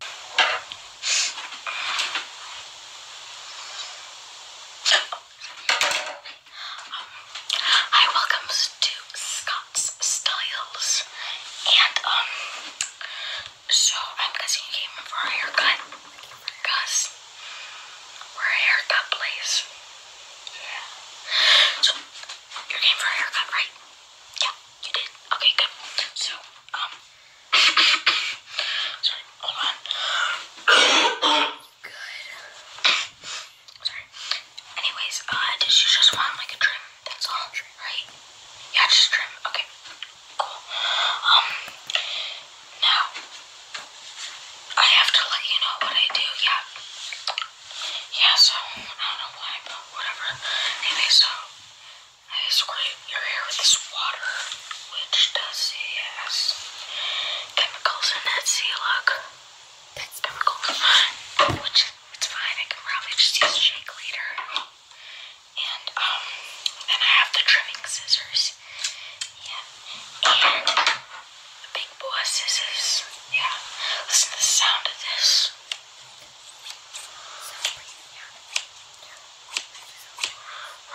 Um, welcome to Scott's Styles. And, um, so I'm guessing you came for a haircut. Because we're a haircut place. Yeah. you came for a haircut, right? Yeah, you did. Okay, good. So, um, Sorry, hold on. Good. Sorry. Anyways, uh, did you just want like a trim? That's all, right? Yeah, just trim. Okay. Cool. Um, now I have to let you know what I do. Yeah. Yeah. So I don't know why, but whatever. Anyway, so I you your hair with this water, which does has chemicals in it. See, look, that's chemicals, which it's fine. I can probably just use a shake later. And um, then I have the trimming scissors. Yeah, and the big boy scissors. Yeah, listen to the sound of this. So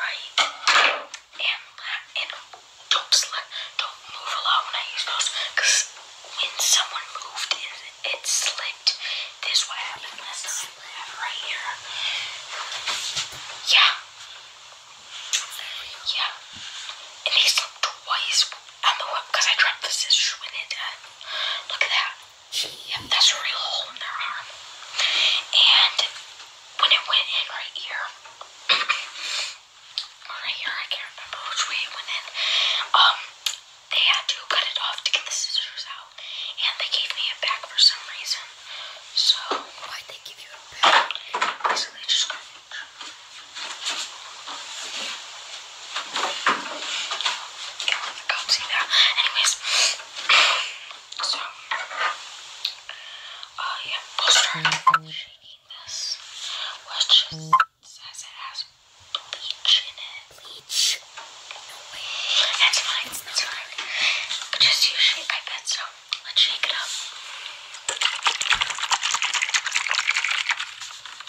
Right. And, and don't slip, don't move a lot when I use those. Because when someone moved and it slipped, this is what happened last time. Right here. Yeah. Yeah. And they slipped twice on the whip because I dropped the scissors when it did. Look at that. Gee, that's a real hole in their arm. And when it went in right here, right here, I can't remember which way it went in, um, they had to cut it off to get the scissors out. And they gave me it back for some reason. So, why they give you it back? Basically, just can't see that. Anyways, so uh yeah, post shaking this was just mm-hmm. says it has bleach in it. Bleach. That's fine, that's fine. Just use shake, I bet so. Let's shake it up.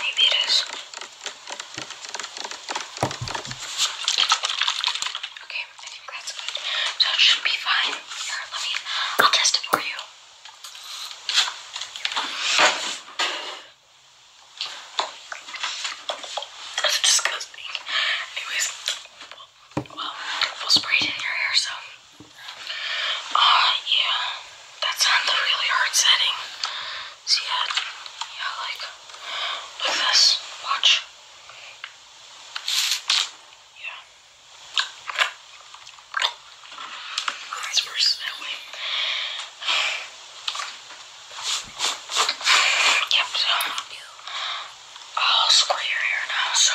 Maybe it is. Okay, I think that's good. So should be fine. Here, let me, I'll test it for you. That's disgusting. Anyways, well, we'll spray it in your hair, so uh, yeah. That's on the really hard setting. See that? Yeah, like, with this. Watch. Yeah. It's worse that way. Yep, I'll square your hair now, so.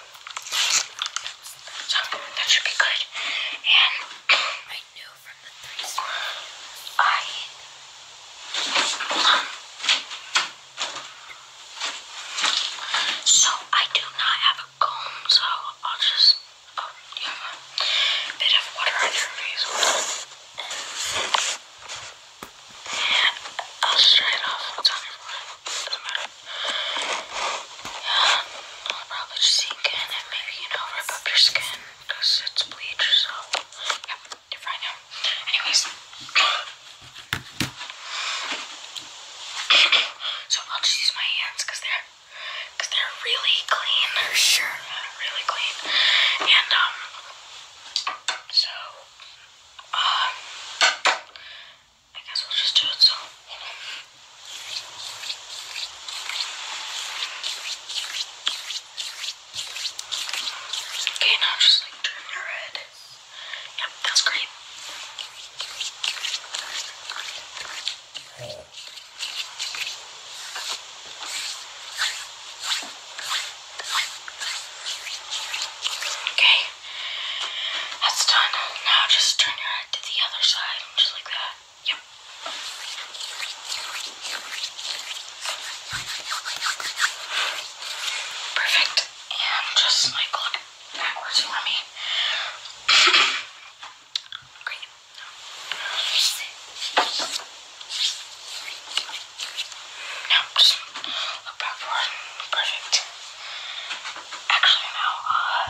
So that should be good. And I knew from the three I um, so I do not have a comb, so I'll just oh a bit of water on your face. I'll straight off. I'll tell everyone. does matter. Yeah, I'll probably just sink in and maybe, you know, rip up your skin because it's bleach, so. Yep, you're fine now. Anyways. so I'll just use my hands because they're, cause they're really clean. they sure really clean. And, um, so um, I guess we'll just do it so. Okay, now just like turn your head. Yep, that's great. Okay, that's done. Now just turn your head to the other side, just like that. Yep. Perfect. And just like look backwards for me. Great. Now Perfect. Actually, now, uh,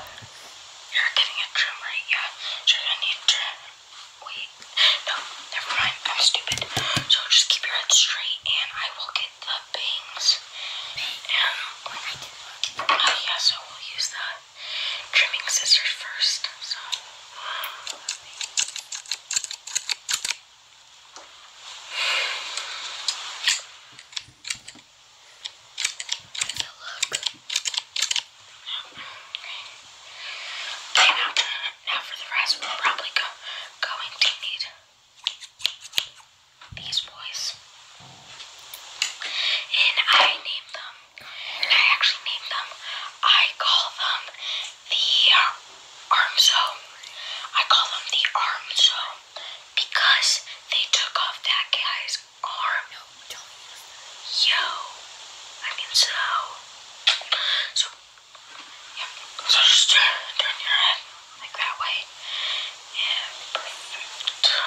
you're getting a trim, right? Yeah. you're gonna need Wait. No, never mind. I'm stupid. So just keep your head straight, and I will get the bangs. yeah, so we'll use the trimming scissors first. So look. Okay, now, now for the rest, we're probably going to need these boys. And I named them, and I actually named them, I call them the arm sew. I call them the arm sew because they took off that guy's arm. No, tell me. Yo. I mean so. So yeah. So just turn, turn your head like that way. Yeah, perfect. Oh,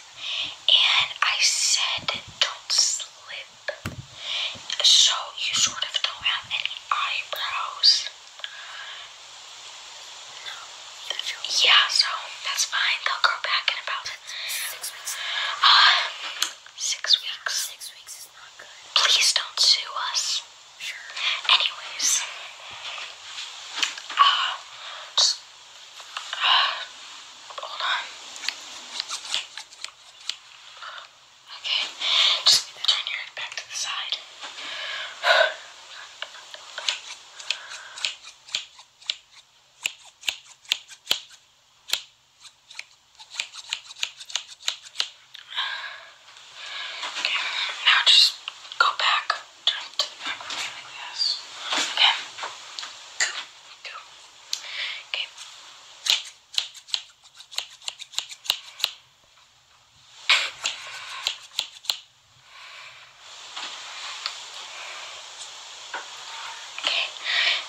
and I said don't slip. So you sort of don't have any eyebrows. No, yeah, so that's fine. They'll grow back in about six weeks. Uh, six weeks. Six weeks is not good. Please don't sue us. Sure. Anyways, uh, Hold on. Okay, just turn your head back to the side. Okay, now just go back turn to the back for me Okay. Go. Go. Okay. Okay,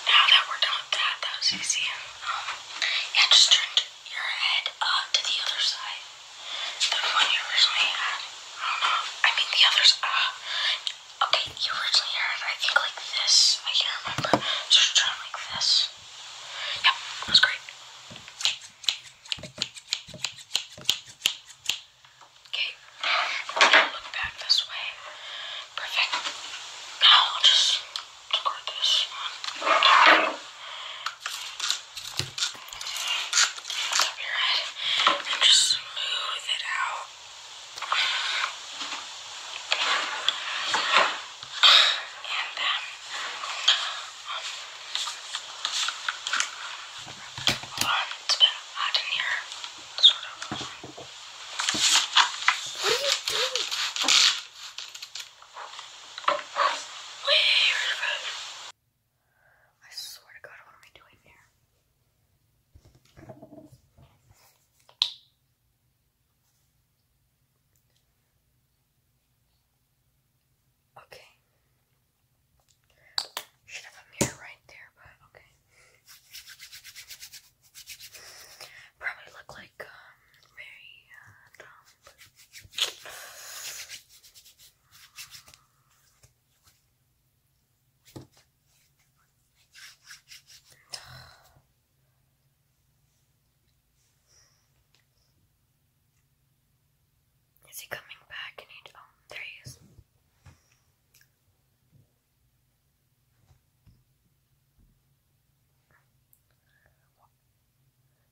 now that we're done with that, that was easy. Um, yeah, just turn your head uh, to the other side. The one you originally had. I don't know. I mean, the other's, uh, Okay, you originally heard it, I think, like this. I can't remember. Just try like this. Yep, that great. Okay, look back this way. Perfect. Now I'll just record this one. your head and just Move it out. And then um, on, um, it's hot in here, sort of. What are you doing? Wait, I swear to God, what am I doing here? Okay. Should have a mirror right there, but okay. Probably look like very um, dumb. Uh, is he coming back? Oh, there he is.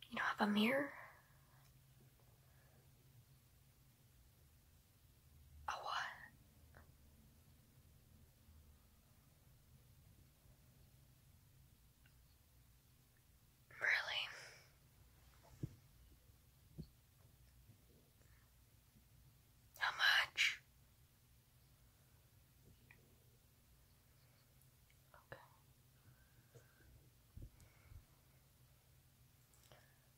You don't have a mirror? A what? Really? How much? Okay.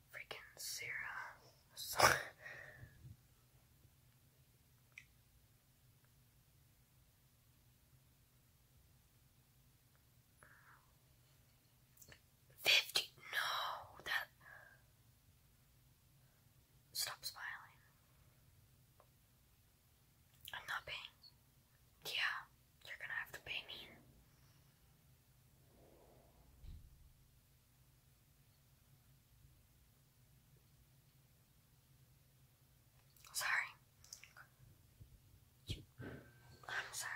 Freaking Sarah. Fifty no that Stop smiling. I'm not paying. Yeah, you're gonna have to pay me. Sorry. I'm sorry.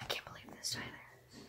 I can't believe this either.